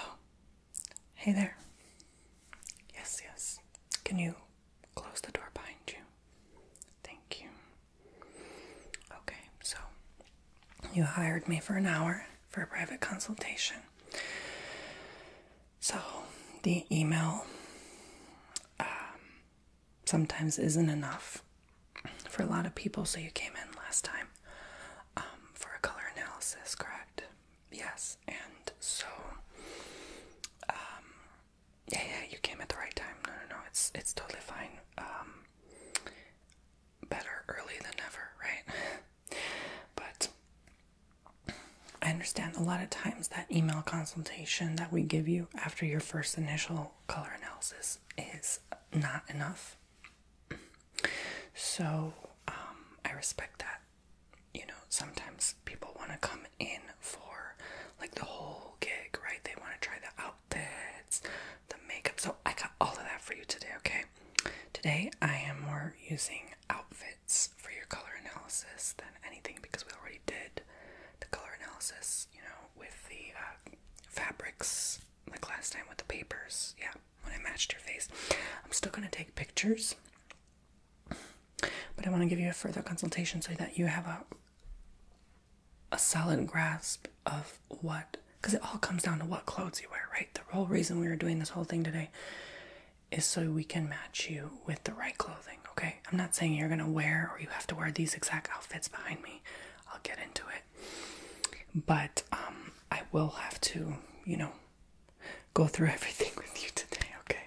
Oh, hey there. Yes, yes. Can you close the door behind you? Thank you. Okay, so you hired me for an hour for a private consultation. So, the email um, sometimes isn't enough for a lot of people. So, you came in last time um, for a color analysis, correct? Yes. And so, um, yeah, yeah, you came at the right time. No, no, no, it's, it's totally fine. Um, better early than never, right? but I understand a lot of times that email consultation that we give you after your first initial color analysis is not enough. So um, I respect that. You know, sometimes people want to come in for like the whole gig, right? They want to try the outfits, the makeup. So I got all of that for you today, okay? Today I am more using outfits for your color analysis than anything because we already did the color analysis, you know, with the uh, fabrics like last time with the papers. Yeah, when I matched your face. I'm still going to take pictures, but I want to give you a further consultation so that you have a a solid grasp of what because it all comes down to what clothes you wear, right? The whole reason we were doing this whole thing today is so we can match you with the right clothing, okay? I'm not saying you're gonna wear or you have to wear these exact outfits behind me. I'll get into it. But um, I will have to, you know, go through everything with you today, okay?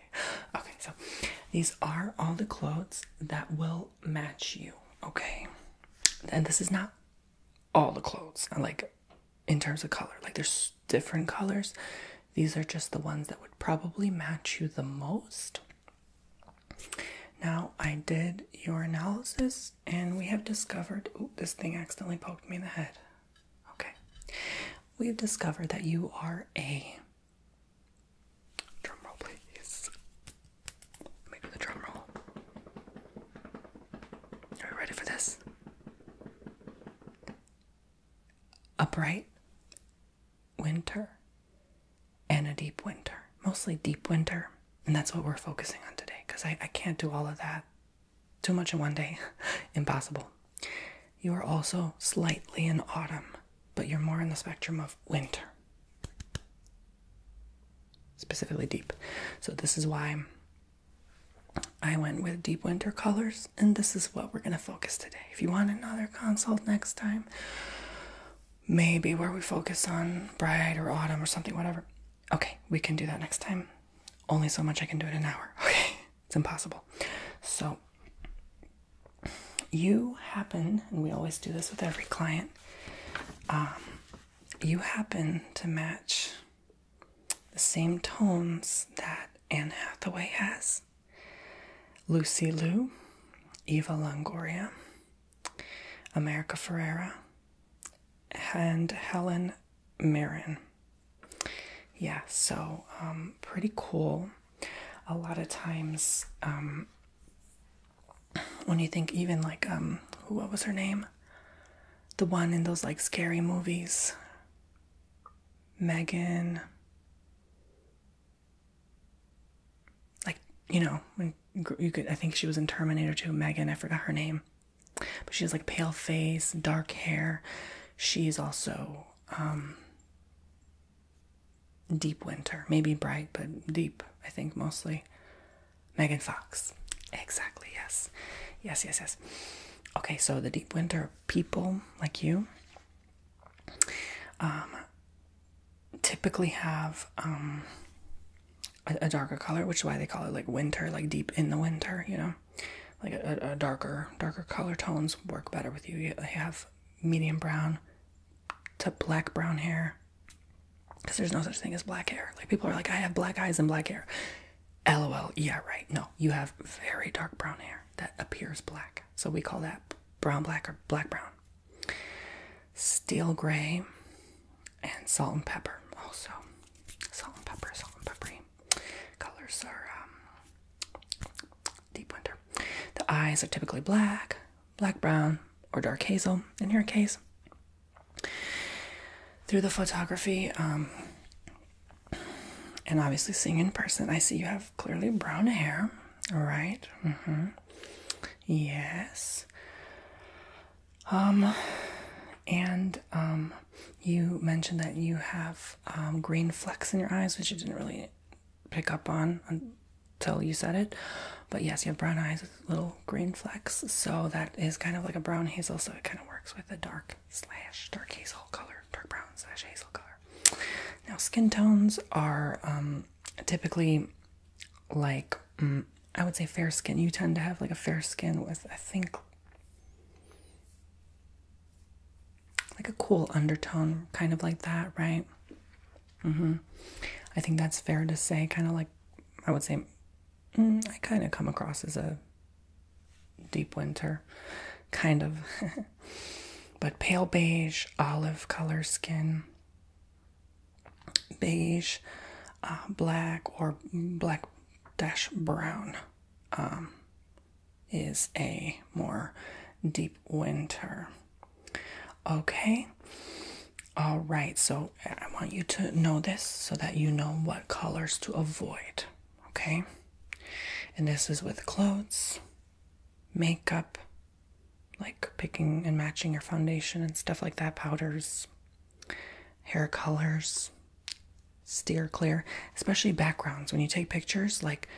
Okay, so these are all the clothes that will match you, okay? And this is not all the clothes, like in terms of color, like there's different colors these are just the ones that would probably match you the most. Now, I did your analysis and we have discovered. Oh, this thing accidentally poked me in the head. Okay. We've discovered that you are a. Drum roll, please. Let the drum roll. Are you ready for this? a bright winter and a deep winter, mostly deep winter. And that's what we're focusing on today because I, I can't do all of that. Too much in one day. Impossible. You are also slightly in autumn, but you're more in the spectrum of winter, specifically deep. So, this is why I went with deep winter colors and this is what we're going to focus today if you want another consult next time maybe where we focus on bright or autumn or something whatever okay we can do that next time only so much i can do in an hour okay it's impossible so you happen and we always do this with every client um, you happen to match the same tones that Anne Hathaway has. Lucy Liu, Eva Longoria, America Ferrera, and Helen Mirren. Yeah, so um, pretty cool. A lot of times, um, when you think even like um, what was her name? The one in those like scary movies, Megan. Like, you know, you could, I think she was in Terminator 2, Megan, I forgot her name. But she has like pale face, dark hair. She's also um, deep winter, maybe bright, but deep, I think mostly. Megan Fox. Exactly, yes. Yes, yes, yes. Okay, so the deep winter people like you um, typically have um, a, darker color, which is why they call it like winter, like deep in the winter, you know. Like a, a darker, darker color tones work better with you. You have medium brown to black brown hair because there's no such thing as black hair. Like people are like, I have black eyes and black hair. LOL, yeah, right. No, you have very dark brown hair that appears black. So we call that brown black or black brown, steel gray, and salt and pepper. Also, salt and pepper, salt and pepper. colors are um, deep winter. The eyes are typically black, black brown, or dark hazel in your case. Through the photography, um, and obviously seeing in person, I see you have clearly brown hair right? Mm -hmm. Yes. Um, and um, you mentioned that you have um, green flecks in your eyes, which you didn't really pick up on until you said it. But yes, you have brown eyes with little green flecks, so that is kind of like a brown hazel, so it kind of works with a dark slash dark hazel color, dark brown slash hazel color. Now, skin tones are um, typically like mm, I would say fair skin. You tend to have like a fair skin with I think like a cool undertone, kind of like that, right? Mm-hmm. I think that's fair to say. Kind of like I would say mm, I kind of come across as a deep winter, kind of but pale beige, olive color skin, beige, uh, black, or black dash brown um, is a more deep winter. Okay. All right, so I want you to know this so that you know what colors to avoid, okay? And this is with clothes, makeup, like picking and matching your foundation and stuff like that, powders, hair colors. Steer clear, especially backgrounds. When you take pictures, like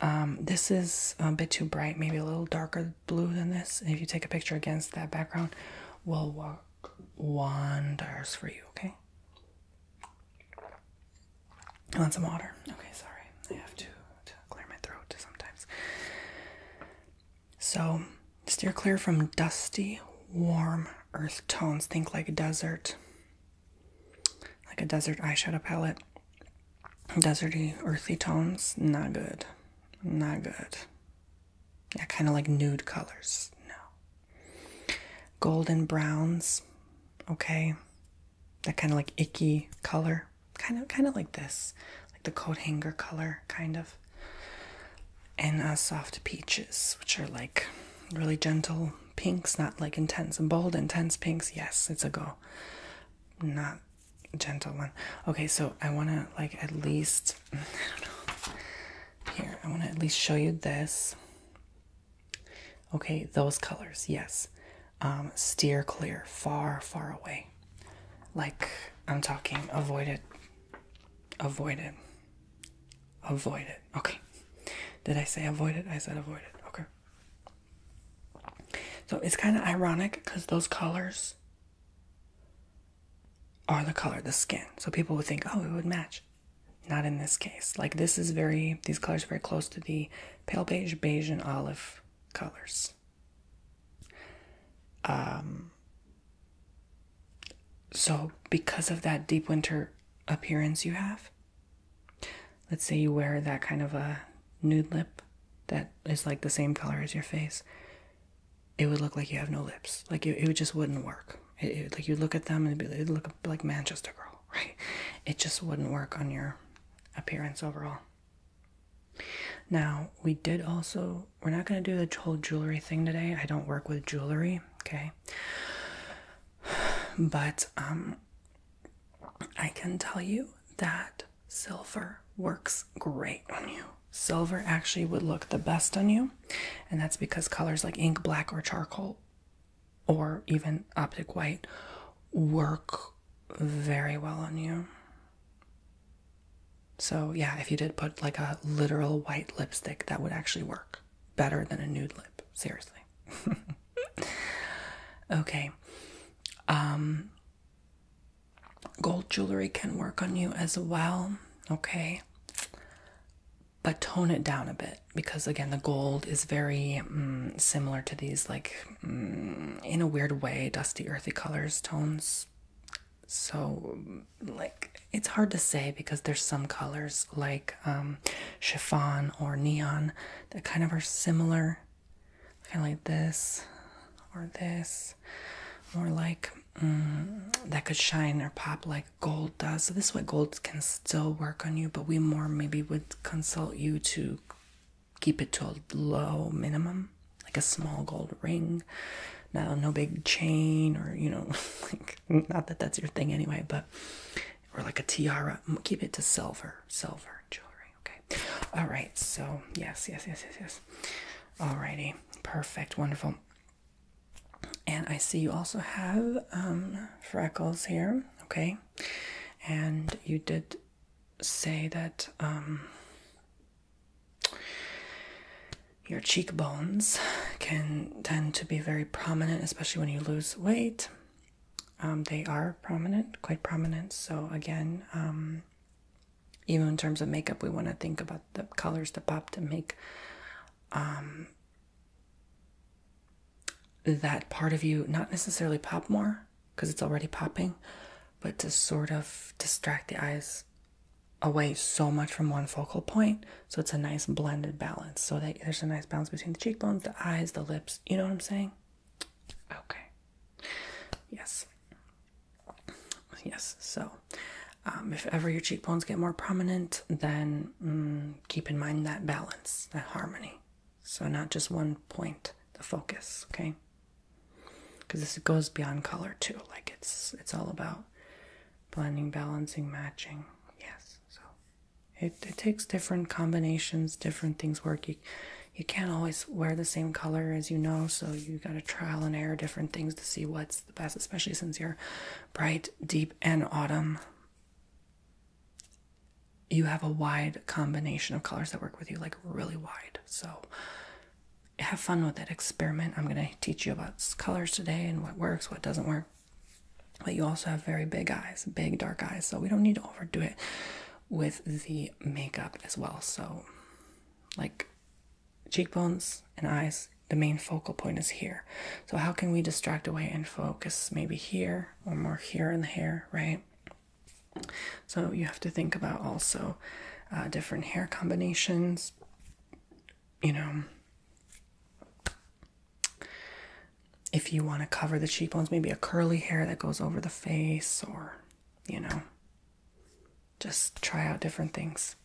um, this is a bit too bright, maybe a little darker blue than this. if you take a picture against that background, will work wonders for you, okay? I want some water. Okay, sorry. I have to, clear my throat sometimes. So, steer clear from dusty, warm earth tones. Think like a desert, like a desert eyeshadow palette. Deserty, earthy tones, not good. Not good. Yeah, kind of like nude colors. No. Golden browns, okay that kind of like icky color, kind of kind of like this, like the coat hanger color, kind of. And uh, soft peaches, which are like really gentle pinks, not like intense and bold, intense pinks. Yes, it's a go. Not gentle one. Okay, so I want to like at least I don't know. Here, I want to at least show you this. Okay, those colors, yes. Um, steer clear, far, far away. Like I'm talking, avoid it, avoid it, avoid it. Okay, did I say avoid it? I said avoid it. Okay. So it's kind of ironic because those colors are the color, of the skin. So people would think, oh, it would match. Not in this case. Like this is very, these colors are very close to the pale beige, beige, and olive colors. Um, so, because of that deep winter appearance you have, let's say you wear that kind of a nude lip that is like the same color as your face, it would look like you have no lips. Like it, it just wouldn't work. it, like you look at them and it'd, be, it'd look like Manchester Girl, right? It just wouldn't work on your appearance overall. Now, we did also, we're not going to do the whole jewelry thing today. I don't work with jewelry, okay? But um, I can tell you that silver works great on you. Silver actually would look the best on you, and that's because colors like ink, black, or charcoal or even optic white work very well on you. So, yeah, if you did put like a literal white lipstick, that would actually work better than a nude lip, seriously. okay. Um, gold jewelry can work on you as well, okay? But tone it down a bit because again, the gold is very mm, similar to these like in a weird way dusty earthy colors tones so like it's hard to say because there's some colors like um chiffon or neon that kind of are similar kind of like this or this more like um, that could shine or pop like gold does this is what gold can still work on you but we more maybe would consult you to keep it to a low minimum, like a small gold ring. Now, no big chain or, you know, not that that's your thing anyway, but, or like a tiara. Keep it to silver, silver jewelry, okay? All right, so yes, yes, yes, yes, yes. All righty, perfect, wonderful. And I see you also have um, freckles here, okay? And you did say that um, your cheekbones can tend to be very prominent, especially when you lose weight. Um, they are prominent, quite prominent. So, again, um, even in terms of makeup, we want to think about the colors to pop to make that part of you not necessarily pop more because it's already popping, but to sort of distract the eyes away so much from one focal point. So it's a nice blended balance. So there's a nice balance between the cheekbones, the eyes, the lips. You know what I'm saying? Okay. Yes. Yes. So um, if ever your cheekbones get more prominent, then mm, keep in mind that balance, that harmony. So, not just one point, the focus, okay? Because this goes beyond color too. Like it's it's all about blending, balancing, matching. Yes. So it, it takes different combinations, different things work. You, you can't always wear the same color as you know, so you got to trial and error different things to see what's the best, especially since you're bright, deep, and autumn you have a wide combination of colors that work with you, like really wide. So have fun with it, experiment. I'm going to teach you about colors today and what works, what doesn't work. But you also have very big eyes, big dark eyes. So we don't need to overdo it with the makeup as well. So, like cheekbones and eyes, the main focal point is here. So, how can we distract away and focus maybe here or more here in the hair, right? So you have to think about also uh, different hair combinations, you know. If you want to cover the cheekbones, maybe a curly hair that goes over the face, or you know, just try out different things.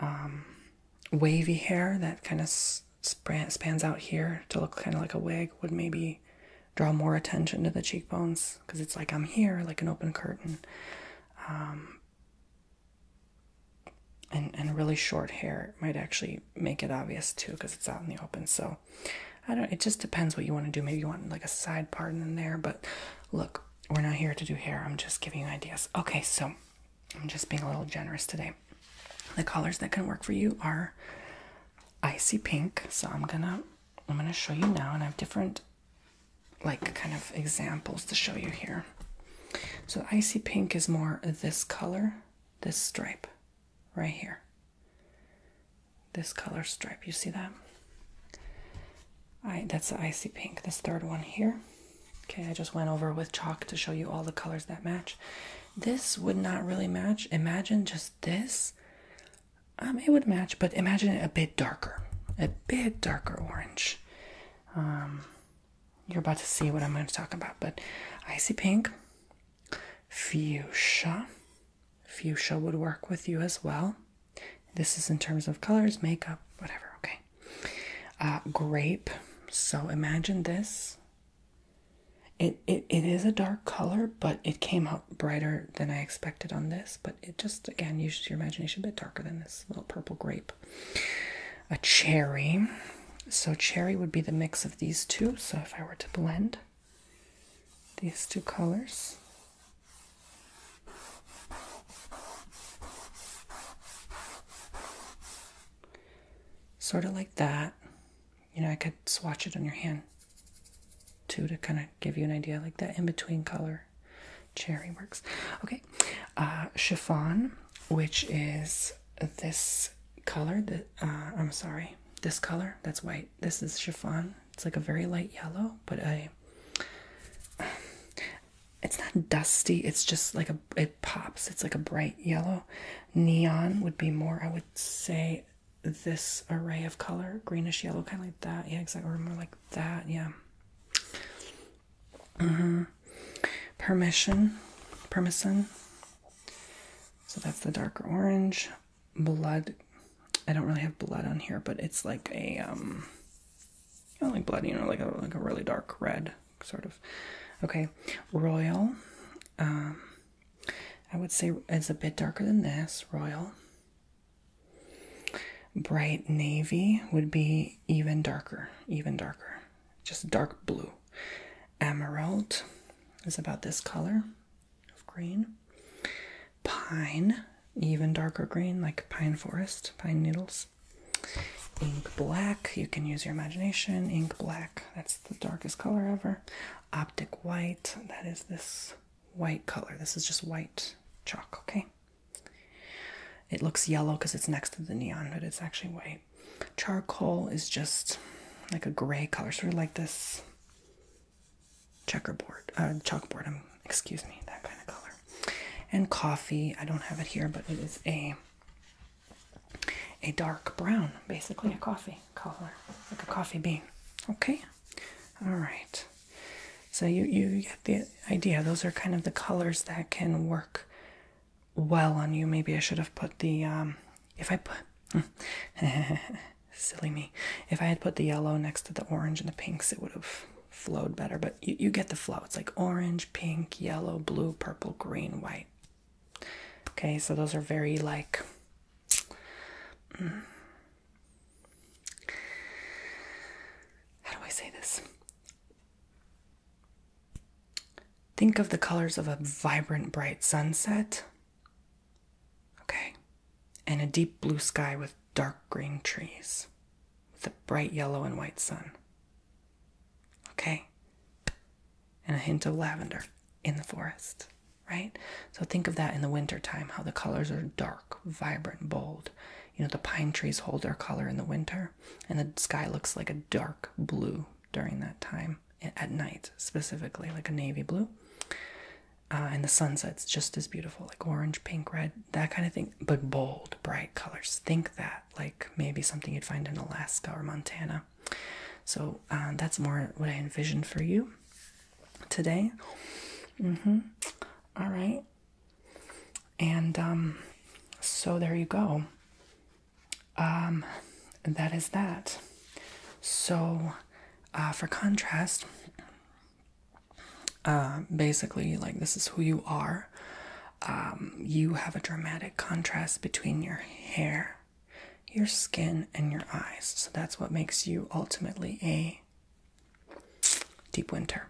Um, wavy hair that kind of spans out here to look kind of like a wig would maybe draw more attention to the cheekbones because it's like I'm here, like an open curtain. Um, and, and really short hair might actually make it obvious too because it's out in the open. So I don't, it just depends what you want to do. Maybe you want like a side part in there, but look, we're not here to do hair. I'm just giving you ideas. Okay, so I'm just being a little generous today. The colors that can work for you are icy pink. So I'm gonna I'm gonna show you now, and I have different like kind of examples to show you here. So icy pink is more this color, this stripe right here. This color stripe, you see that? I that's icy pink. This third one here. Okay, I just went over with chalk to show you all the colors that match. This would not really match. Imagine just this, um, it would match, but imagine it a bit darker, a bit darker orange. Um, you're about to see what I'm going to talk about, but icy pink, fuchsia, fuchsia would work with you as well. This is in terms of colors, makeup, whatever. Okay, uh, grape. So imagine this it, it it is a dark color, but it came out brighter than I expected on this. But it just again uses your imagination a bit darker than this little purple grape. A cherry. So cherry would be the mix of these two. So if I were to blend these two colors. Sort of like that you know, I could swatch it on your hand too to kind of give you an idea like that in between color cherry works. Okay, uh, chiffon, which is this color that uh, I'm sorry, this color that's white. This is chiffon. It's like a very light yellow, but I. It's not dusty. It's just like a. It pops. It's like a bright yellow. Neon would be more. I would say this array of color, greenish yellow, kind of like that. Yeah, exactly. Or more like that. Yeah. Mm -hmm. Permission, permission. So that's the darker orange. Blood. I don't really have blood on here, but it's like a um, not like blood, you know, like a like a really dark red sort of. Okay, royal. Um, I would say it's a bit darker than this, royal. Bright navy would be even darker, even darker, just dark blue. Emerald is about this color of green. Pine, even darker green, like pine forest, pine needles. Ink black, you can use your imagination. Ink black, that's the darkest color ever. Optic White. That is this white color. This is just white chalk, okay? It looks yellow because it's next to the neon, but it's actually white. Charcoal is just like a gray color, sort of like this checkerboard, uh, chalkboard, um, excuse me, that kind of color. And coffee, I don't have it here, but it is a a dark brown, basically a coffee color, like a coffee bean. Okay, all right. So you you get the idea. Those are kind of the colors that can work well on you. Maybe I should have put the um, if I put silly me. If I had put the yellow next to the orange and the pinks, it would have flowed better. But you you get the flow. It's like orange, pink, yellow, blue, purple, green, white. Okay, so those are very like Mm. How do I say this? Think of the colors of a vibrant, bright sunset. Okay. And a deep blue sky with dark green trees, with a bright yellow and white sun. Okay. And a hint of lavender in the forest right? So think of that in the wintertime, how the colors are dark, vibrant, bold. You know, the pine trees hold their color in the winter, and the sky looks like a dark blue during that time, at night specifically, like a navy blue. Uh, and the sunset's just as beautiful, like orange, pink, red, that kind of thing, but bold, bright colors. Think that, like maybe something you'd find in Alaska or Montana so uh, that's more what i envisioned for you today mm-hmm. right and um, so there you go um, that is that so uh, for contrast uh, basically like this is who you are um, you have a dramatic contrast between your hair your skin and your eyes. So that's what makes you ultimately a deep winter.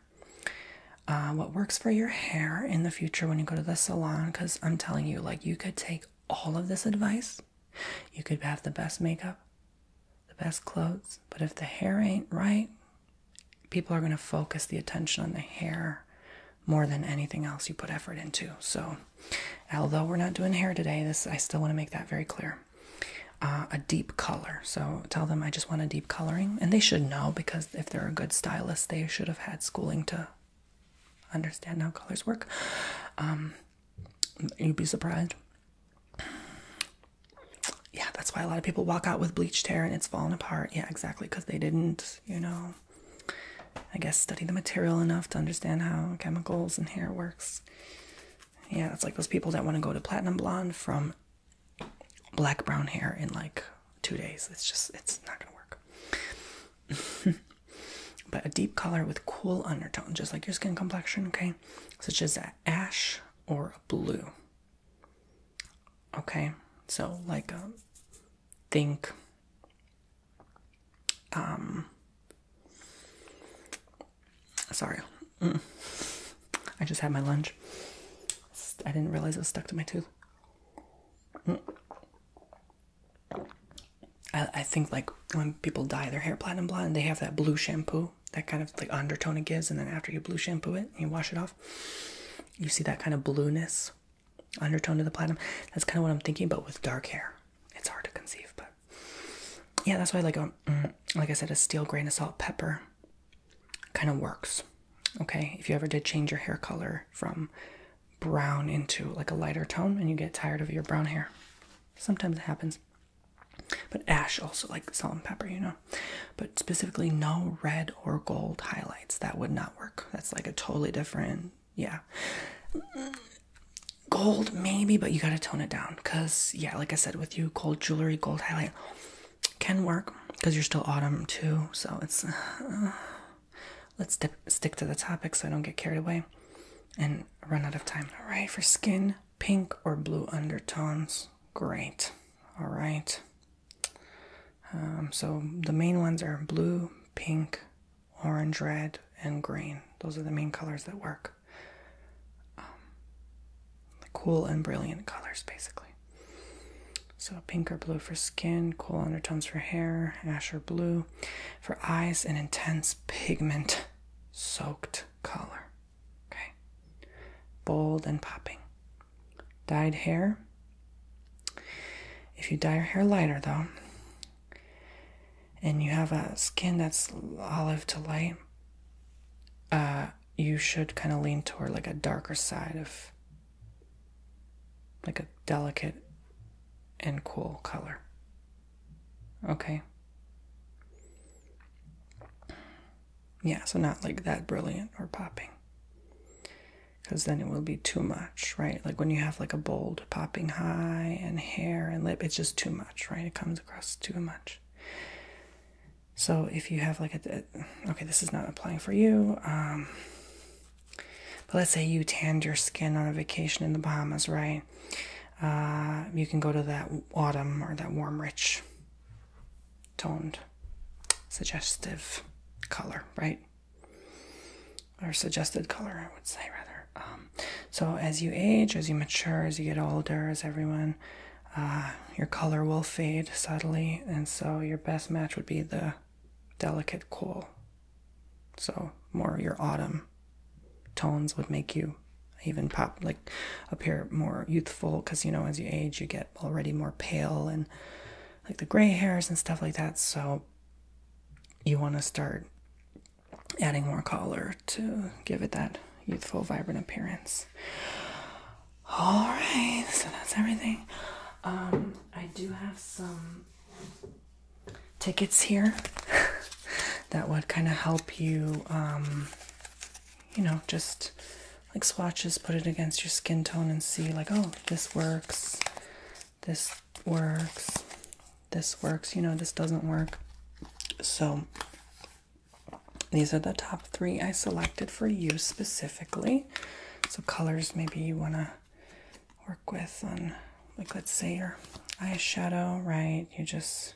Uh, what works for your hair in the future when you go to the salon? Because I'm telling you, like, you could take all of this advice, you could have the best makeup, the best clothes, but if the hair ain't right, people are going to focus the attention on the hair more than anything else you put effort into. So although we're not doing hair today, this I still want to make that very clear. Uh, a deep color. So tell them I just want a deep coloring, and they should know because if they're a good stylist, they should have had schooling to understand how colors work. Um, you'd be surprised. Yeah, that's why a lot of people walk out with bleached hair and it's falling apart. Yeah, exactly, because they didn't, you know, I guess study the material enough to understand how chemicals and hair works yeah, it's like those people that want to go to platinum blonde from black brown hair in like two days. It's just it's not gonna work. but a deep color with cool undertone, just like your skin complexion, okay? Such as ash or blue. Okay, so like um think um sorry mm. i just had my lunch i didn't realize it was stuck to my tooth mm. I, I think like when people dye their hair platinum blonde they have that blue shampoo that kind of like undertone it gives and then after you blue shampoo it and you wash it off you see that kind of blueness undertone to the platinum that's kind of what i'm thinking about with dark hair it's hard to conceive, but yeah, that's why like a um, mm, like I said, a steel grain of salt pepper kind of works. Okay, if you ever did change your hair color from brown into like a lighter tone and you get tired of your brown hair, sometimes it happens. But ash also like salt and pepper, you know. But specifically, no red or gold highlights. That would not work. That's like a totally different, yeah. Gold, maybe, but you gotta tone it down because, yeah, like I said with you, gold jewelry, gold highlight can work because you're still autumn too. So uh, let's dip, stick to the topic so I don't get carried away and run out of time. All right, for skin, pink or blue undertones, great. All right, um, so the main ones are blue, pink, orange, red, and green. Those are the main colors that work. Um, cool and brilliant colors, basically. So, pink or blue for skin, cool undertones for hair, ash or blue. For eyes, an intense pigment soaked color. Okay. Bold and popping. Dyed hair. If you dye your hair lighter, though, and you have a skin that's olive to light, uh, you should kind of lean toward like a darker side of like a delicate and cool color. Okay. Yeah, so not like that brilliant or popping. Because then it will be too much, right? Like when you have like a bold popping high and hair and lip, it's just too much right? It comes across too much. So if you have like a, okay, this is not applying for you. Um, but let's say you tanned your skin on a vacation in the Bahamas, right? Uh, you can go to that autumn or that warm, rich, toned, suggestive color, right? Or suggested color, I would say rather. Um, um, so as you age, as you mature, as you get older, as everyone, uh, your color will fade subtly, and so your best match would be the delicate cool. So more your autumn tones would make you even pop like appear more youthful because you know as you age you get already more pale and like the gray hairs and stuff like that so you want to start adding more color to give it that youthful, vibrant appearance. All right, so that's everything. Um, I do have some tickets here that would kind of help you, um, you know, just like swatches, put it against your skin tone and see, like, oh, this works, this works, this works, you know, this doesn't work. So these are the top three I selected for you specifically. So colors maybe you want to work with on like let's say your eyeshadow, right? You just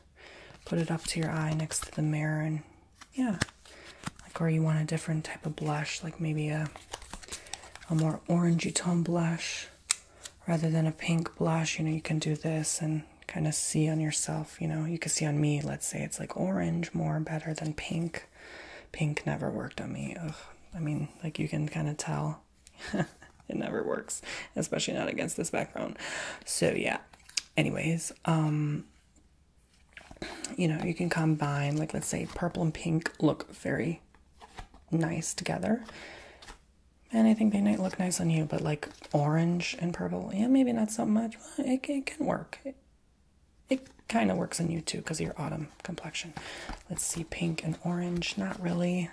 put it up to your eye next to the mirror and yeah. Like or you want a different type of blush, like maybe a a more orangey tone blush rather than a pink blush, you know, you can do this and kind of see on yourself, you know, you can see on me, let's say it's like orange more better than pink. Pink never worked on me. Ugh. I mean, like you can kind of tell it never works, especially not against this background. So yeah. Anyways, um you know, you can combine like let's say purple and pink look very nice together and I think they might look nice on you, but like orange and purple, yeah, maybe not so much. it, it can work. It, kind of works on you too because your autumn complexion. Let's see, pink and orange, not really.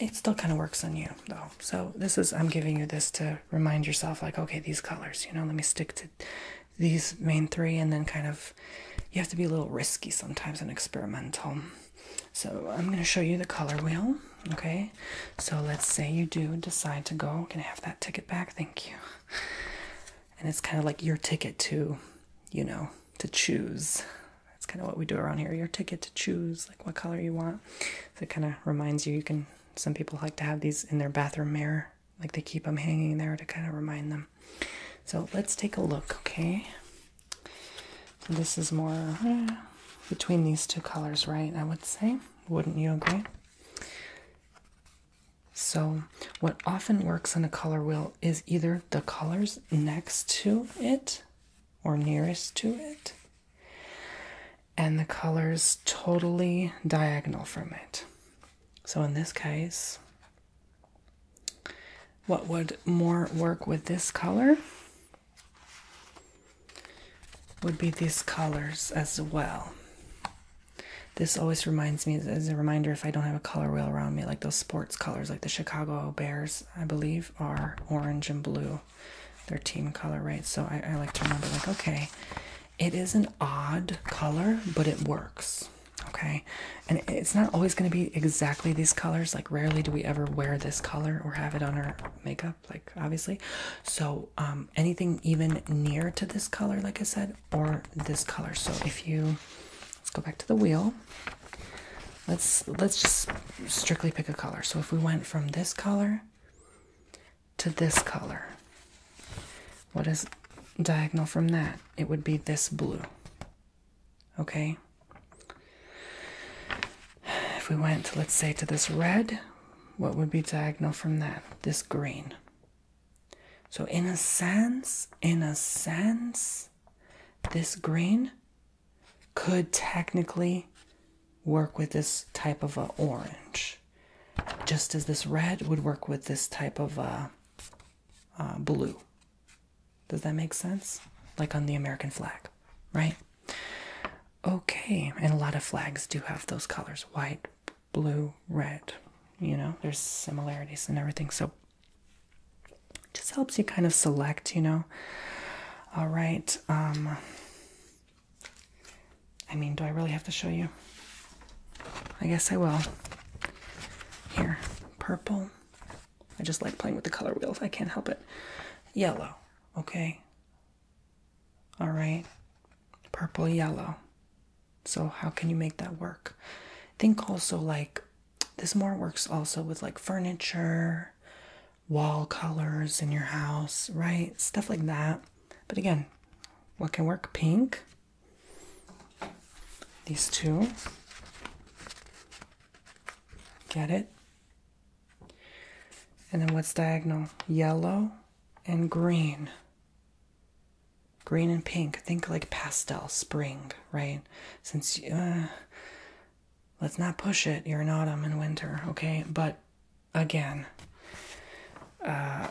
It still kind of works on you though. So this is, I'm giving you this to remind yourself like, okay, these colors, you know, let me stick to these main three and then kind of, you have to be a little risky sometimes and experimental so I'm going to show you the color wheel. Okay, so let's say you do decide to go. Can I have that ticket back? Thank you. And it's kind of like your ticket to, you know, to choose. That's kind of what we do around here. Your ticket to choose, like what color you want. So it kind of reminds you. You can. Some people like to have these in their bathroom mirror, like they keep them hanging there to kind of remind them. So let's take a look. Okay, this is more eh, between these two colors, right? I would say. Wouldn't you agree? So, what often works on a color wheel is either the colors next to it or nearest to it, and the colors totally diagonal from it. So, in this case, what would more work with this color would be these colors as well. This always reminds me, as a reminder, if I don't have a color wheel around me, like those sports colors, like the Chicago Bears, I believe, are orange and blue, their team color, right? So I, like to remember, like, okay, it is an odd color, but it works, okay? And it's not always going to be exact these colors. Like, rarely do we ever wear this color or have it on our makeup, like, obviously. So, um, anything even near to this color, like I said, or this color. So, if you let's go back to the wheel, let's let's just strictly pick a color. So, if we went from this color to this color, what is diagonal from that? It would be this blue. Okay? If we went, let's say, to this red, what would be diagonal from that? This green. So, in a sense, in a sense, this green could technically work with this type of a orange, just as this red would work with this type of a, blue. Does that make sense? Like on the American flag, right? Okay, and a lot of flags do have those colors white, blue, red. You know, there's similarities and everything. So just helps you kind of select, you know. All right. Um, I mean, do I really have to show you? I guess I will. Here, purple. I just like playing with the color wheels. I can't help it. Yellow, okay? All right. Purple, yellow. So, how can you make that work? Think also like this more works also with like furniture, wall colors in your house, right? Stuff like that. But again, what can work? Pink. These two. Get it? And then what's diagonal? Yellow and green. Green and pink. Think like pastel, spring, right? Since uh, let's not push it. You're in autumn and winter, okay? But again, uh,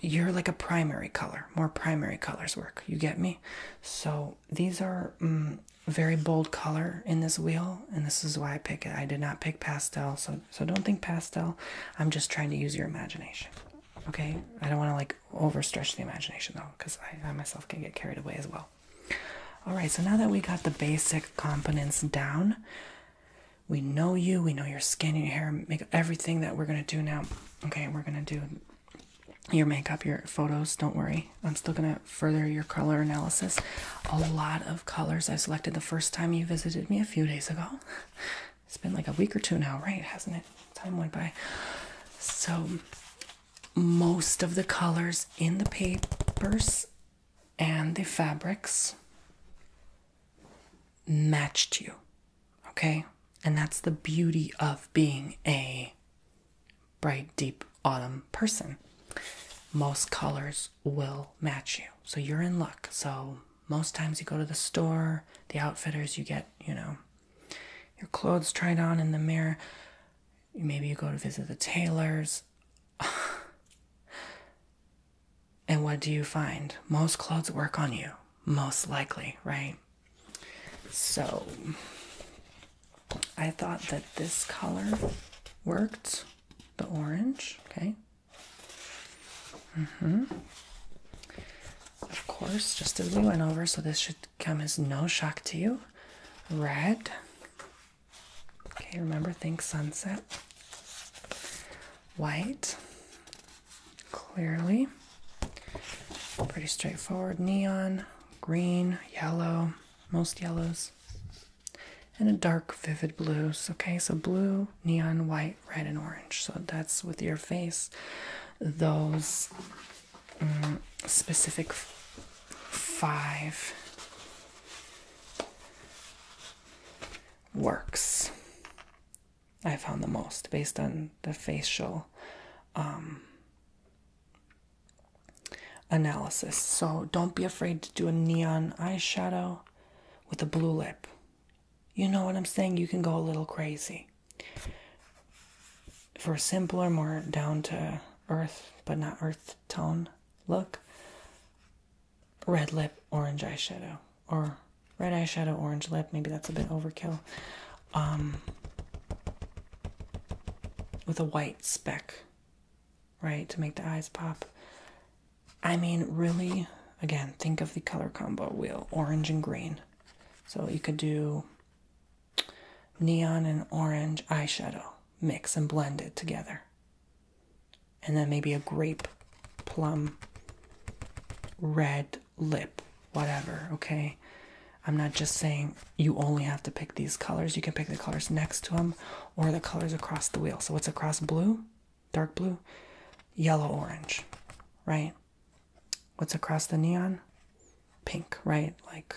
you're like a primary color. More primary colors work. You get me? So these are mm, very bold color in this wheel, and this is why I pick it. I did not pick pastel, so so don't think pastel. I'm just trying to use your imagination. Okay, I don't want to like overstretch the imagination though, because I, I myself can get carried away as well. All right, so now that we got the basic components down, we know you, we know your skin, your hair, make everything that we're gonna do now. Okay, we're gonna do your makeup, your photos, don't worry. I'm still gonna further your color analysis. A lot of colors I selected the first time you visited me a few days ago. It's been like a week or two now, right? Hasn't it? Time went by. So, most of the colors in the papers and the fabrics matched you. Okay? And that's the beauty of being a bright, deep autumn person. Most colors will match you. So you're in luck. So most times you go to the store, the outfitters, you get, you know, your clothes tried on in the mirror. Maybe you go to visit the tailors. and what do you find? Most clothes work on you, most likely, right? So I thought that this color worked, the orange, okay? hmm Of course, just as we went over, so this should come as no shock to you. Red. Okay, remember, think sunset. White. Clearly. Pretty straightforward. Neon. Green. Yellow most yellows, and a dark, vivid blues. Okay, so blue, neon, white, red, and orange. So that's with your face, those mm, specific five works. I found the most based on the facial um, analysis. So don't be afraid to do a neon eyeshadow with a blue lip. You know what I'm saying? You can go a little crazy. For a simpler, more down to earth, but not earth tone look, red lip, orange eyeshadow, or red eyeshadow, orange lip. Maybe that's a bit overkill. Um, with a white speck right, to make the eyes pop. I mean, really, again, think of the color combo wheel orange and green. So you could do neon and orange eyeshadow, mix and blend it together. And then maybe a grape, plum, red lip, whatever, okay? I'm not just saying you only have to pick these colors. You can pick the colors next to them or the colors across the wheel. So what's across blue? Dark blue? Yellow orange, right? What's across the neon? Pink, right? Like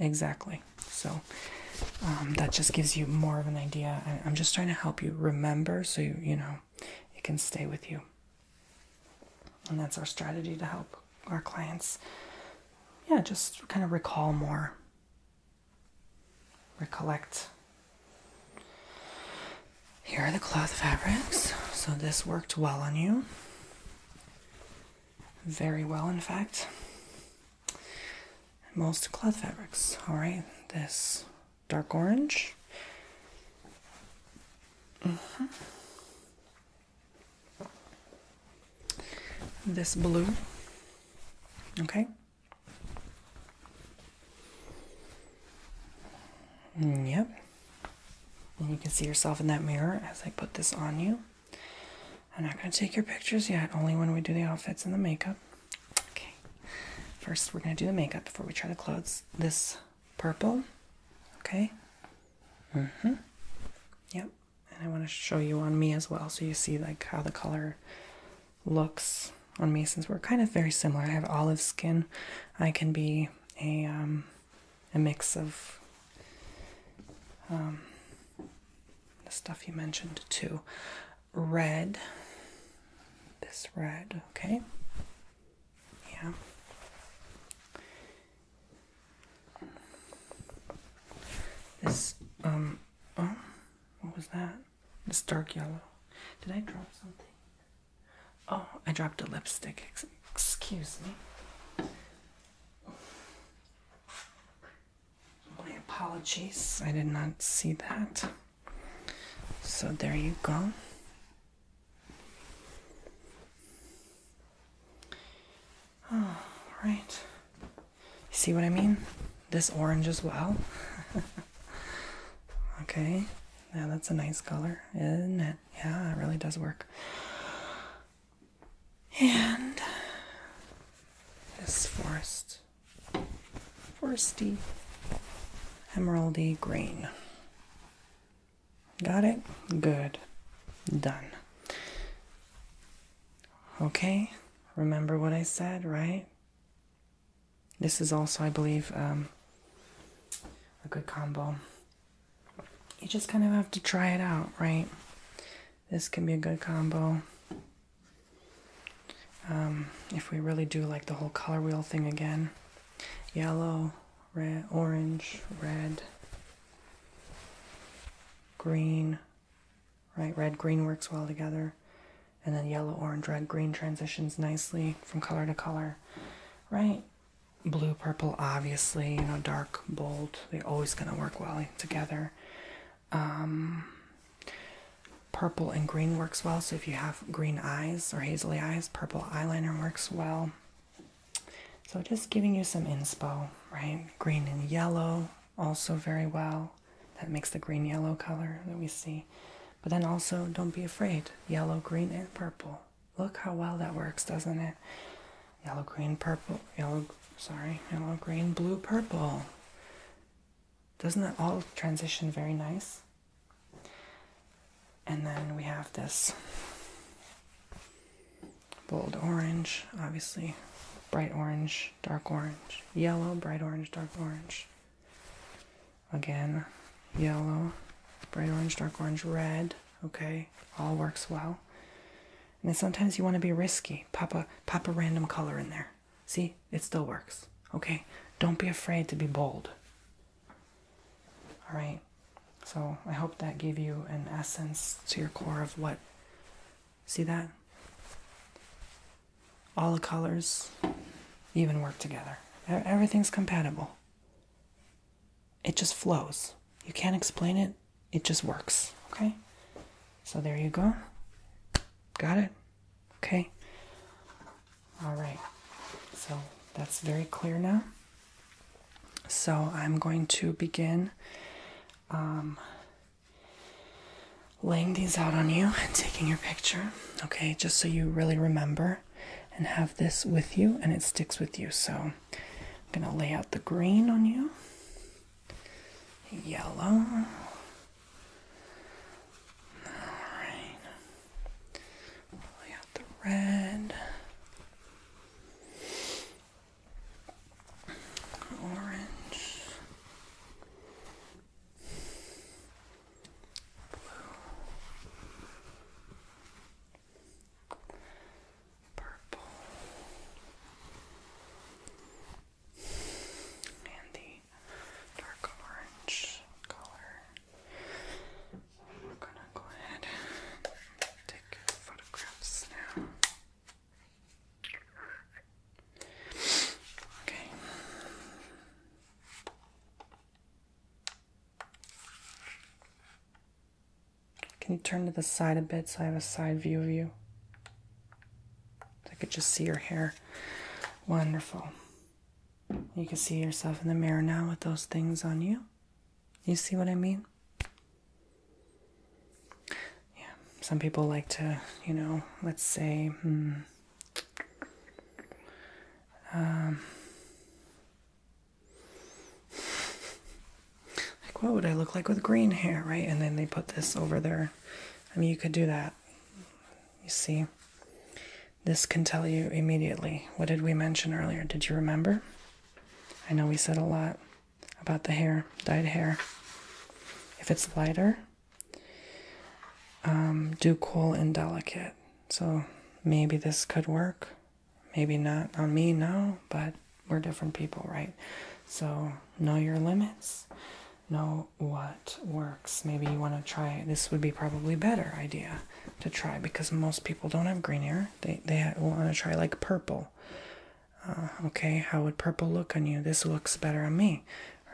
exactly. So um, that just gives you more of an idea. I, I'm just trying to help you remember so you, you know, it can stay with you. And that's our strategy to help our clients, yeah, just kind of recall more, recollect. Here are the cloth fabrics. So, this worked well on you. Very well, in fact. Most cloth fabrics. All right, this dark orange. Mm-hmm this blue. Okay. Yep. And you can see yourself in that mirror as I put this on you. I'm not going to take your pictures yet, only when we do the outfits and the makeup. Okay. First, we're going to do the makeup before we try the clothes. This purple. Okay. Mm hmm. Yep and I want to show you on me as well so you see like how the color looks on me since we're kind of very similar. I have olive skin. I can be a um, a mix of um, the stuff you mentioned too. Red. This red, okay. Yeah. This, um, oh, what was that? This dark yellow. Did I drop something? Oh, I dropped a lipstick. excuse me. My apologies. I did not see that. So there you go. All right. See what I mean? This orange as well. okay. Yeah, that's a nice color, isn't it? Yeah, it really does work. And this forest, foresty, emeraldy green. Got it? Good. Done. Okay, remember what I said, right? This is also, I believe, um, a good combo. You just kind of have to try it out, right? This can be a good combo. Um, if we really do like the whole color wheel thing again yellow, orange, red green, right? Red, green works well together. And then yellow, orange, red, green transitions nicely from color to color, right? Blue, purple, obviously, you know, dark, bold, they're always going to work well together. Um, purple and green works well, so if you have green eyes or hazily eyes, purple eyeliner works well. So, just giving you some inspo, right? Green and yellow, also very well. That makes the green yellow color that we see. But then also, don't be afraid yellow, green, and purple. Look how well that works, doesn't it? Yellow, green, purple, yellow, sorry, yellow, green, blue, purple. Doesn't that all transition very nice? And then we have this bold orange, obviously, bright orange, dark orange, yellow, bright orange, dark orange. Again, yellow, bright orange, dark orange, red, okay? All works well. And sometimes you want to be risky. Pop a, pop a random color in there. See, it still works, okay? Don't be afraid to be bold. All right. So I hope that gave you an essence to your core of what. See that? All the colors even work together. Everything's compatible. It just flows. You can't explain it, it just works. Okay? So there you go. Got it? Okay. All right. So that's very clear now. So I'm going to begin um, laying these out on you and taking your picture, okay? Just so you really remember and have this with you and it sticks with you. So I'm gonna lay out the green on you, yellow. All right. Lay out the red orange, blue, purple, and the dark orange color. We're gonna go ahead take photographs now. Okay. Can you turn to the side a bit so I have a side view of you? I could just see your hair. Wonderful. You can see yourself in the mirror now with those things on you. You see what I mean? Yeah, some people like to, you know, let's say, hmm, um, like what would I look like with green hair, right? And then they put this over there. I mean, you could do that. You see, this can tell you immediately. What did we mention earlier? Did you remember? I know we said a lot about the hair, dyed hair. If it's lighter, um, do cool and delicate. So maybe this could work. Maybe not on me now, but we're different people, right? So know your limits, know what works. Maybe you want to try, this would be probably better idea to try because most people don't have green hair. They, they want to try like purple uh, okay how would purple look on you this looks better on me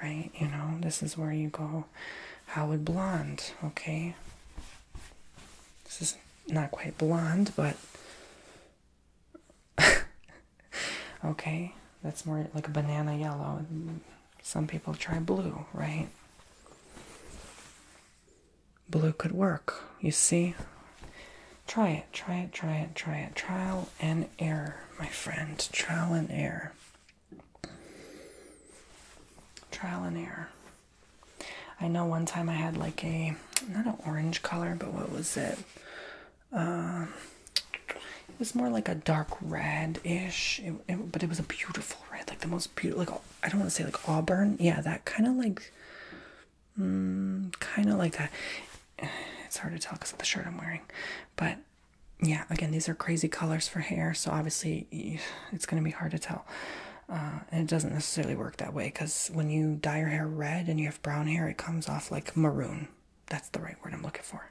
right you know this is where you go how would blonde okay this is not quite blonde but okay that's more like a banana yellow some people try blue right blue could work you see Try it, try it, try it, try it. Trial and error, my friend. Trial and error. Trial and error. I know one time I had like a not an orange color, but what was it? Uh, it was more like a dark red ish, but it was a beautiful red, like the most beautiful. Like I don't want to say like auburn, yeah, that kind of like Mm, kind of like that. It's hard to tell because of the shirt I'm wearing, but yeah, again, these are crazy colors for hair, so obviously it's going to be hard to tell. Uh, and it doesn't necessarily work that way because when you dye your hair red and you have brown hair, it comes off like maroon. That's the right word I'm looking for,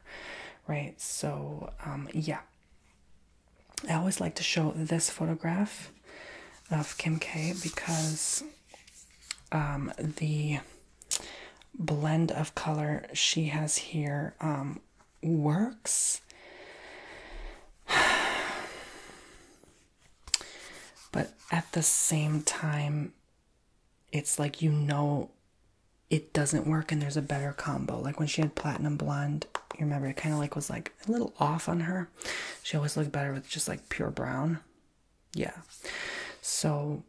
right? So, um, yeah. I always like to show this photograph of Kim K because um, the blend of color she has here um, works. But at the same time, it's like you know it doesn't work and there's a better combo. Like when she had platinum blonde, you remember it kind of like was like a little off on her. She always looked better with just like pure brown yeah so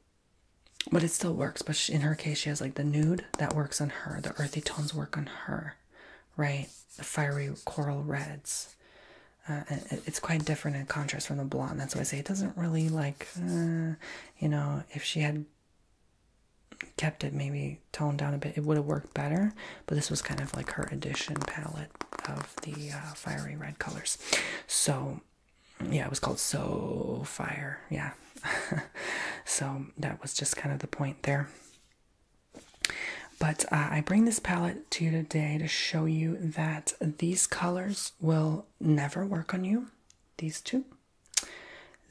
but it still works but in her case she has like the nude that works on her the earthy tones work on her right the fiery coral reds uh, it's quite different in contrast from the blonde that's why i say it doesn't really like uh, you know if she had kept it maybe toned down a bit it would have worked better but this was kind of like her edition palette of the uh, fiery red colors. So, yeah, it was called So Fire. Yeah. so, that was just kind of the point there. But uh, I bring this palette to you today to show you that these colors will never work on you. These two.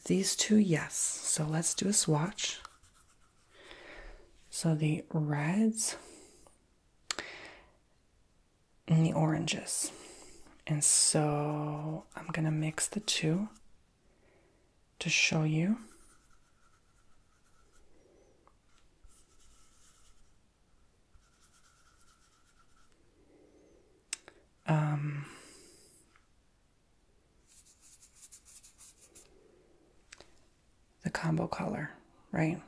These two, yes. So let's do a swatch. So the reds the oranges. And so I'm going to mix the two to show you. Um, the combo color, right?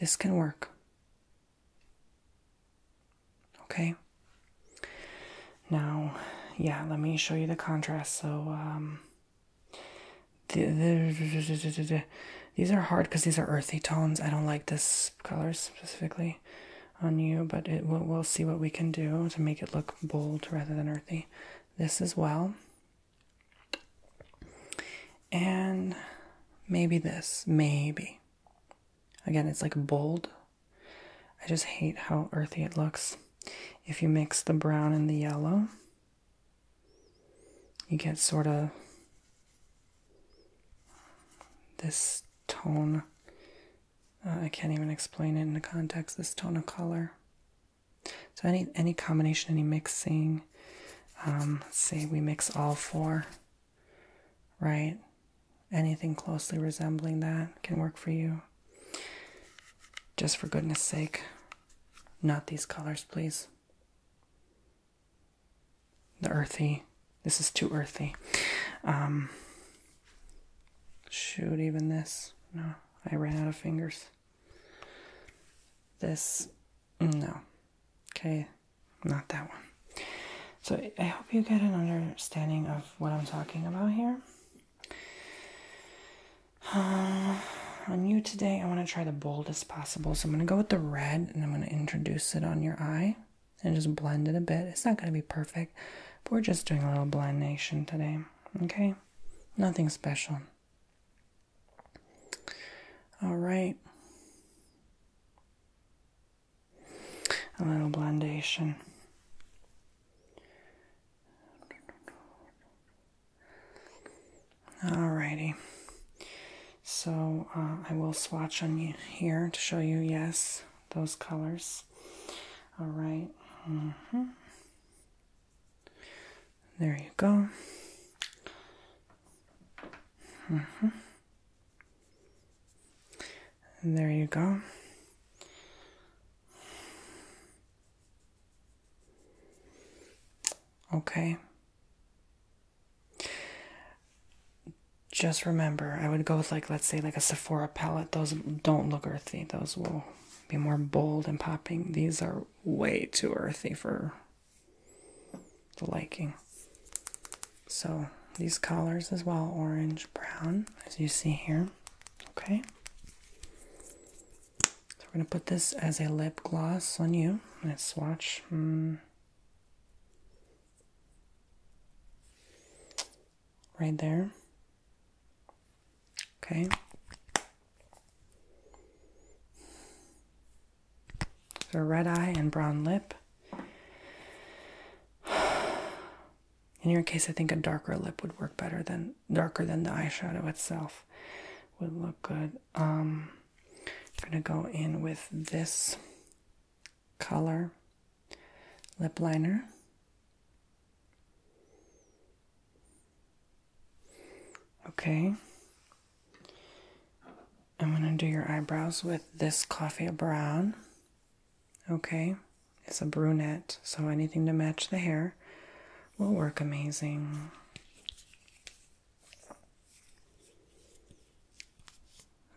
This can work. Okay. Now, yeah, let me show you the contrast. So, um, the, the, these are hard because these are earthy tones. I don't like this color specifically on you, but it, we'll see what we can do to make it look bold rather than earthy. This as well. And maybe this, maybe. Again, it's like bold. I just hate how earthy it looks. If you mix the brown and the yellow, you get sort of this tone. Uh, I can't even explain it in the context, this tone of color. So any any combination, any mixing. Um, let's see, we mix all four, right? Anything closely resembling that can work for you. Just for goodness sake, not these colors, please. The earthy. This is too earthy. Um, shoot, even this. No, I ran out of fingers. This, no. Okay, not that one. So I hope you get an understanding of what I'm talking about here. on you today, I want to try the boldest possible. So I'm going to go with the red and I'm going to introduce it on your eye and just blend it a bit. It's not going to be perfect, but we're just doing a little blendation today. Okay? Nothing special. All right. A little blendation. Alrighty. So uh, I will swatch on you here to show you, yes, those colors. All right. -hmm. There you go. Mm -hmm. There you go. Okay. Just remember, I would go with like let's say like a Sephora palette. Those don't look earthy. Those will be more bold and popping. These are way too earthy for the liking. So these colors as well, orange, brown, as you see here. Okay. So we're going to put this as a lip gloss on you. Let's swatch. Hmm. Right there. Okay. So red eye and brown lip. In your case, I think a darker lip would work better than darker than the eyeshadow itself would look good. Um, I'm gonna go in with this color lip liner. Okay. I'm going to do your eyebrows with this coffee brown. Okay. It's a brunette, so anything to match the hair will work amazing.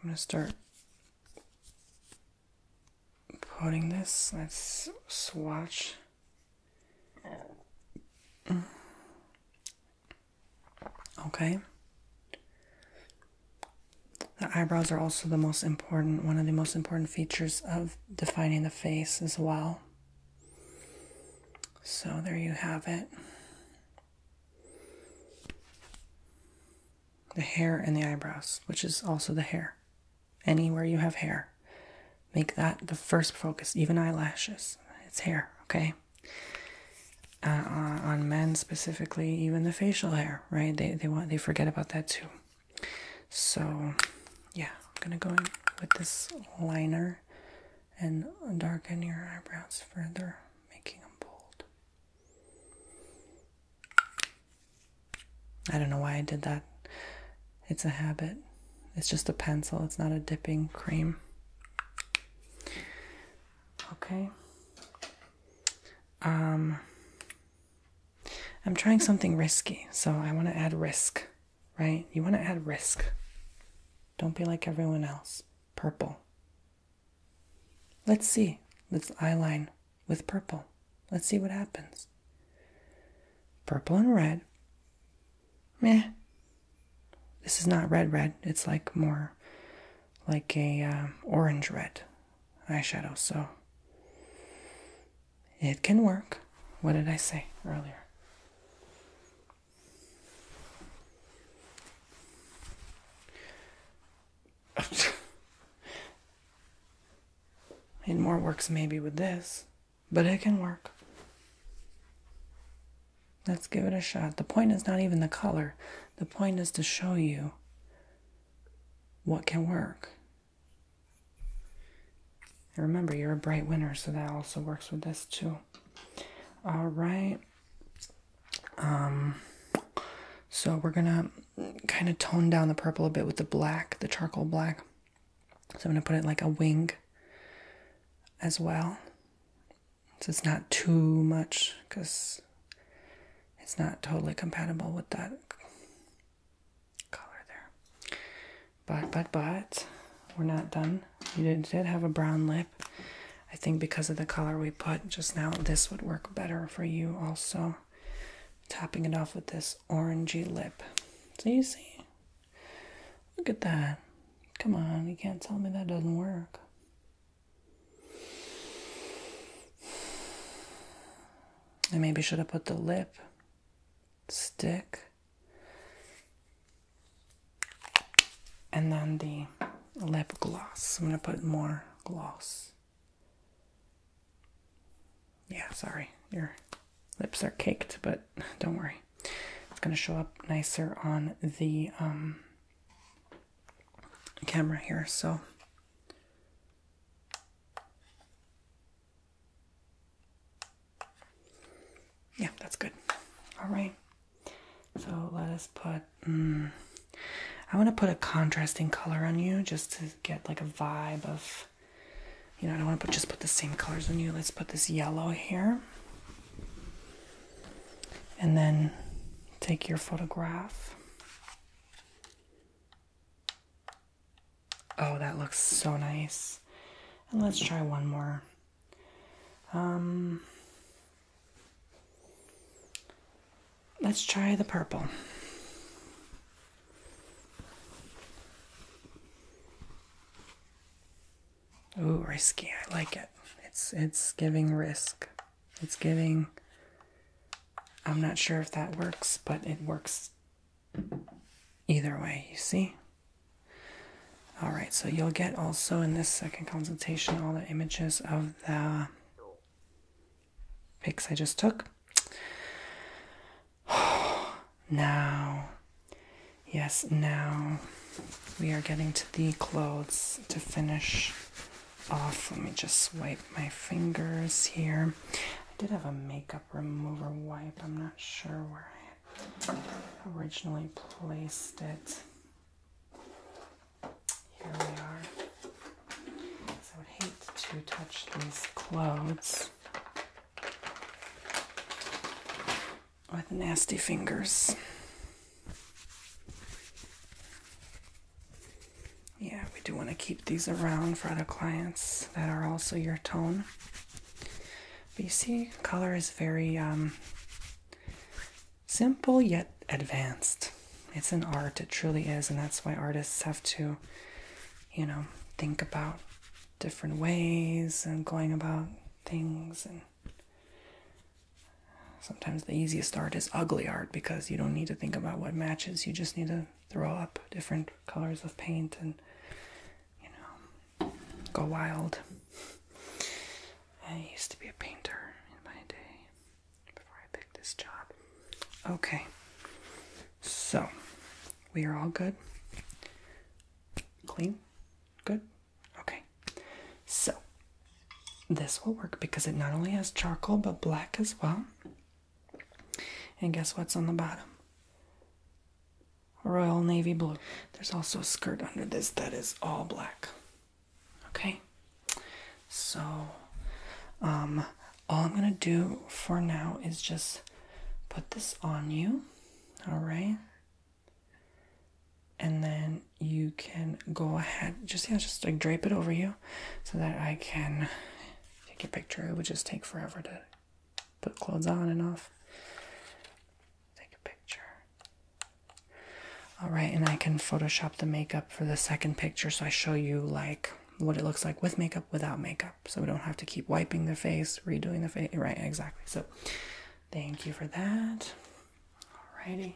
I'm going to start putting this. Let's swatch Okay. The eyebrows are also the most important, one of the most important features of defining the face as well. So there you have it. The hair and the eyebrows, which is also the hair anywhere you have hair. Make that the first focus, even eyelashes. It's hair, okay? Uh, on men specifically, even the facial hair, right? They they want they forget about that too. So, yeah, I'm gonna go in with this liner and darken your eyebrows further, making them bold. I don't know why I did that. It's a habit. It's just a pencil, it's not a dipping cream. Okay. Um, I'm trying something risky, so I want to add risk, right? You want to add risk. Don't be like everyone else. Purple. Let's see. Let's eyeline with purple. Let's see what happens. Purple and red meh. This is not red red. It's like more like a uh, orange red eyeshadow. So it can work. What did I say earlier? It more works maybe with this but it can work. Let's give it a shot. The point is not even the color, the point is to show you what can work. remember, you're a bright winner, so that also works with this too. All right. Um, so we're gonna kind of tone down the purple a bit with the black, the charcoal black. So I'm going to put it like a wing as well. So it's not too much because it's not totally compatible with that color there. But, but, but, we're not done. You did, have a brown lip. I think because of the color we put just now, this would work better for you also. Topping it off with this orangey lip. So you see, Look at that. Come on, you can't tell me that doesn't work. I maybe should have put the lip stick and then the lip gloss. I'm going to put more gloss. Yeah, sorry. Your lips are caked, but don't worry. It's going to show up nicer on the um, camera here. So. Yeah, that's good. All right. So let us put. Mm, I want to put a contrasting color on you just to get like a vibe of you know, I don't want to just put the same colors on you. Let's put this yellow here. And then take your photograph. Oh, that looks so nice. And let's try one more. Um, let's try the purple. Ooh, risky. I like it. It's it's giving risk. It's giving I'm not sure if that works, but it works either way, you see? All right, so you'll get also in this second consultation all the images of the pics I just took. now, yes, now we are getting to the clothes to finish off. Let me just wipe my fingers here. I did have a makeup remover wipe. I'm not sure where I originally placed it. Here we are. I would hate to touch these clothes with nasty fingers. Yeah, we do want to keep these around for other clients that are also your tone. But you see, color is very um, simple yet advanced. It's an art, it truly is, and that's why artists have to, you know, think about different ways and going about things and sometimes the easiest art is ugly art because you don't need to think about what matches you just need to throw up different colors of paint and you know go wild i used to be a painter in my day before i picked this job okay so we are all good Clean? Good? Okay. So, this will work because it not only has charcoal but black as well. And guess what's on the bottom? Royal Navy Blue. There's also a skirt under this that is all black. Okay? So, um, all I'm going to do for now is just put this on you. All right? and then you can go ahead just yeah just like drape it over you so that i can take a picture it would just take forever to put clothes on and off take a picture all right and i can photoshop the makeup for the second picture so i show you like what it looks like with makeup without makeup so we don't have to keep wiping the face, redoing the face. Right, exactly. So thank you for that. Alrighty.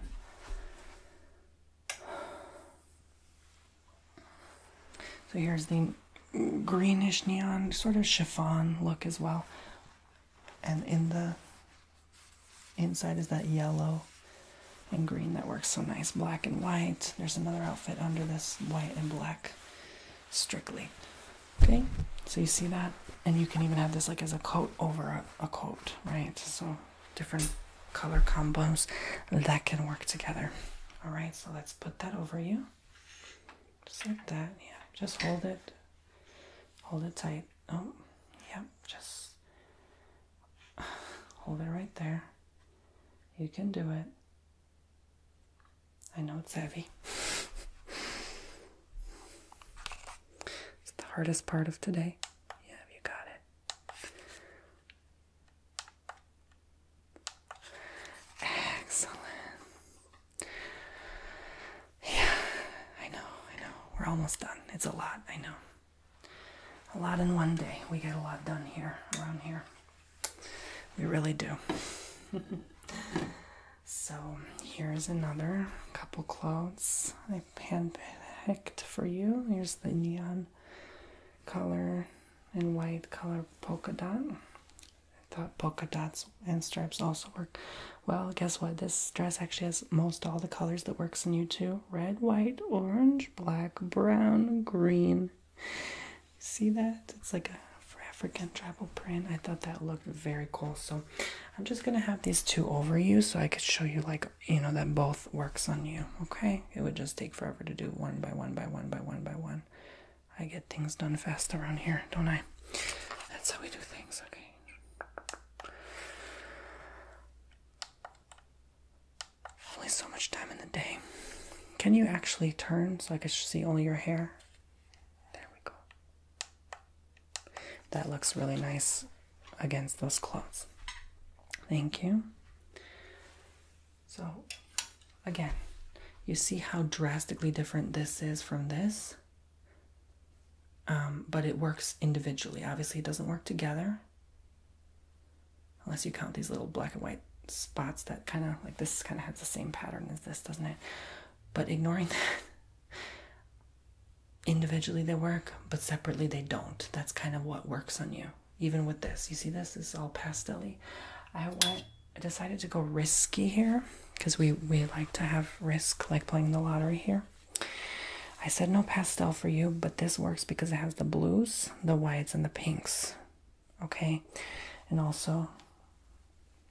So here's the greenish neon sort of chiffon look as well. And in the inside is that yellow and green that works so nice. Black and white. There's another outfit under this white and black strictly. Okay, so you see that? And you can even have this like as a coat over a, coat, right? So different color combos that can work together. All right, so let's put that over you. Just like that, yeah. Just hold it, hold it tight. Oh, yep, just hold it right there. You can do it. I know it's heavy. it's the hardest part of today. Yeah, you got it. Excellent. Yeah, I know, I know. We're almost done. It's a lot, I know. A lot in one day. We get a lot done here, around here. We really do. So here's another couple clothes I handpicked for you. Here's the neon color and white color polka dot. I thought polka dots and stripes also work well. Guess what? This dress actually has most all the colors that works in you too. Red, white, orange, black, brown, green. See that? It's like a for African tribal print. I thought that looked very cool. So I'm just gonna have these two over you so I could show you like you know that both works on you. Okay. It would just take forever to do one by one by one by one by one. I get things done fast around here, don't I? That's how we do things, okay. Only so much time in the day. Can you actually turn so I can see only your hair? There we go. That looks really nice against those clothes. Thank you. So, again, you see how drastically different this is from this? Um, but it works individually. Obviously, it doesn't work together. Unless you count these little black and white spots that kind of, like this kind of has the same pattern as this, doesn't it? But ignoring that, individually they work, but separately they don't. That's kind of what works on you. Even with this, you see this, is all pastel I decided to go risky here because we, we like to have risk, like playing the lottery here. I said no pastel for you, but this works because it has the blues, the whites, and the pinks. Okay? And also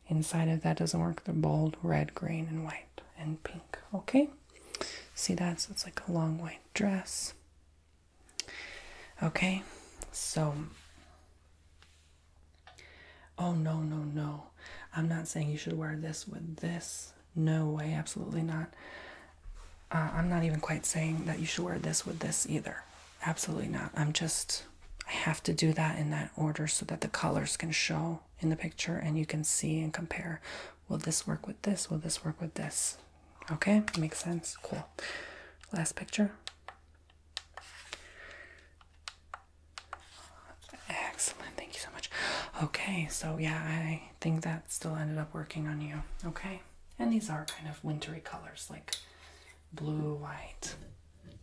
Inside of that doesn't work, they're bold, red, green, and white, and pink. Okay? See that? So it's like a long white dress. Okay? So, oh no, no, no. I'm not saying you should wear this with this. No way, absolutely not. Uh, I'm not even quite saying that you should wear this with this either. Absolutely not. I'm just I have to do that in that order so that the colors can show in the picture and you can see and compare. Will this work with this? Will this work with this? Okay, makes sense. Cool. Last picture. Excellent. Thank you so much. Okay, so yeah, I think that still ended up working on you. Okay, and these are kind of wintry colors like blue, white,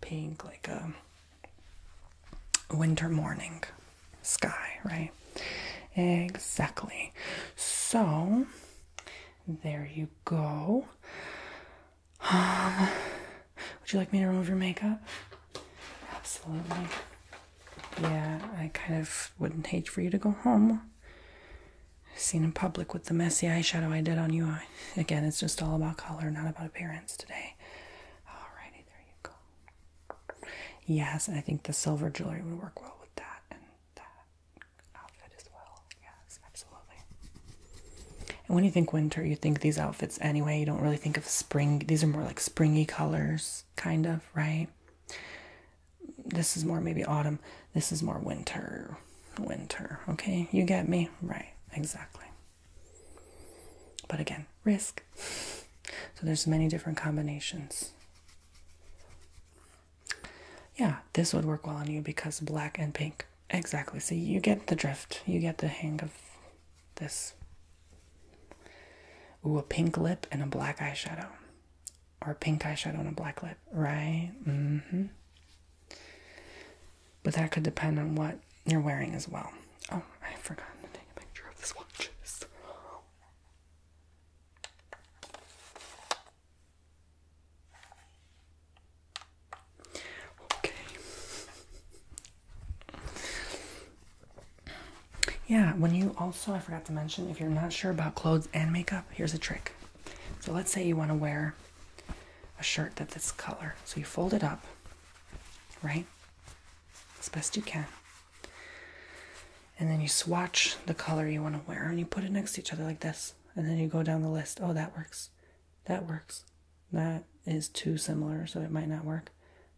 pink, like um winter morning sky, right? Exactly. So, there you go. Um, would you like me to remove your makeup? Absolutely. Yeah, I kind of wouldn't hate for you to go home. Seen in public with the messy eyeshadow I did on you. again, it's just all about color, not about appearance today. Okay. Alrighty, there you go. Yes, I think the silver jewelry would work well with that and that outfit as well. Yes, absolutely. And when you think winter, you think these outfits anyway. You don't really think of spring. These are more like springy colors, kind of, right? This is more maybe autumn. This is more winter. Winter. Okay, you get me? Right, exactly. But again, risk. So there's many different combinations. Yeah, this would work well on you because black and pink. Exactly. So you get the drift. You get the hang of this. Ooh, a pink lip and a black eyeshadow. Or a pink eyeshadow and a black lip, right? Mm-hmm. But that could depend on what you're wearing as well. Oh, I forgot to take a picture of this watch. Okay. Yeah, when you also, I forgot to mention, if you're not sure about clothes and makeup, here's a trick. So let's say you want to wear a shirt that's this color. So you fold it up right? As best you can. And then you swatch the color you want to wear and you put it next to each other like this. And then you go down the list. Oh, that works. That works. That is too similar, so it might not work.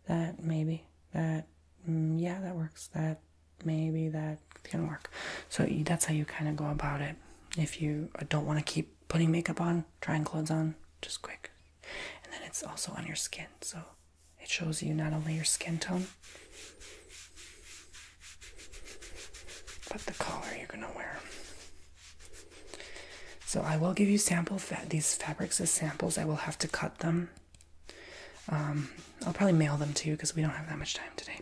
That maybe. That, mm, yeah, that works. That maybe. That can work. So that's how you kind of go about it. If you uh, don't want to keep putting makeup on, trying clothes on, just quick. And then it's also on your skin, so it shows you not only your skin tone, but the color you're gonna wear. So I will give you sample fa these fabrics as samples. I will have to cut them. Um, I'll probably mail them to you because we don't have that much time today.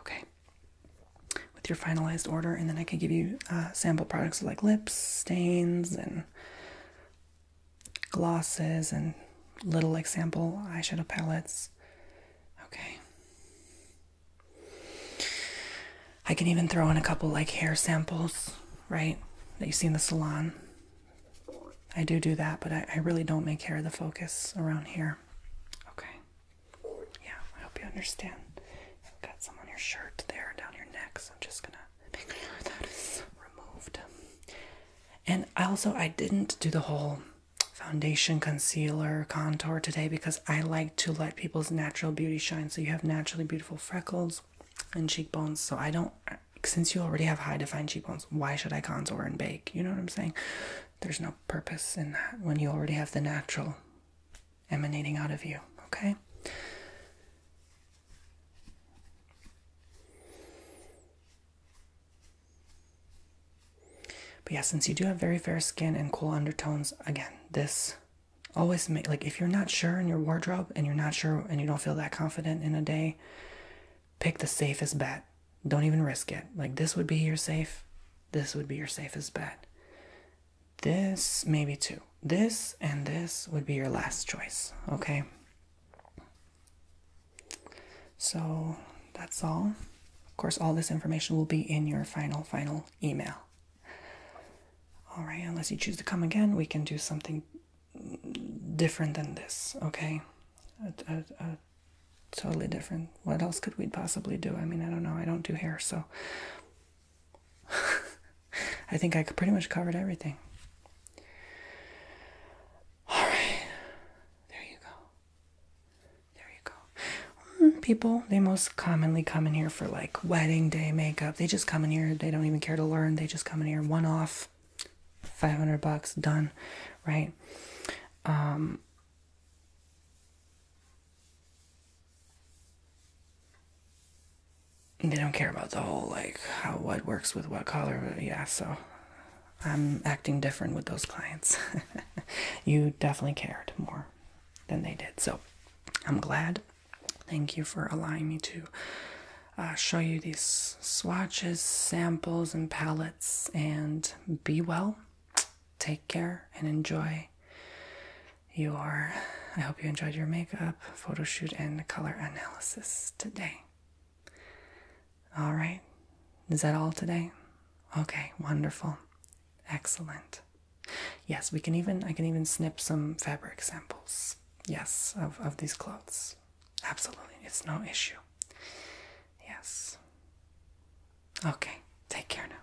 Okay with your finalized order, and then I can give you uh, sample products like lips, stains, and glosses, and little like sample eyeshadow palettes. Okay. I can even throw in a couple like hair samples, right? That you see in the salon. I do do that, but I really don't make hair the focus around here. Okay. Yeah, I hope you understand. Got some on your shirt there, down your neck. So I'm just gonna make sure that is removed. And I also I didn't do the whole foundation, concealer, contour today because I like to let people's natural beauty shine. So you have naturally beautiful freckles and cheekbones. So I don't. Since you already have high defined cheekbones, why should I contour and bake? You know what I'm saying? There's no purpose in that when you already have the natural emanating out of you, okay? But yeah, since you do have very fair skin and cool undertones, again, this always make like if you're not sure in your wardrobe and you're not sure and you don't feel that confident in a day, pick the safest bet. Don't even risk it. Like this would be your safe, this would be your safest bet this, maybe two. This and this would be your last choice, okay? So that's all. Of course, all this information will be in your final, final email. All right, unless you choose to come again, we can do something different than this, okay? A, a, a totally different. What else could we possibly do? I mean, I don't know. I don't do hair, so I think I pretty much covered everything. Alright. There you go. There you go. Mm, people, they most commonly come in here for like wedding day makeup. They just come in here. They don't even care to learn. They just come in here one off. 500 bucks done, right? Um they don't care about the whole like how what works with what color but yeah so i'm acting different with those clients you definitely cared more than they did so i'm glad thank you for allowing me to uh, show you these swatches samples and palettes and be well take care and enjoy your I hope you enjoyed your makeup, photo shoot, and color analysis today. All right. Is that all today? Okay, wonderful. Excellent. Yes, we can even I can even snip some fabric samples. Yes, of, of these clothes. Absolutely. It's no issue. Yes. Okay, take care now.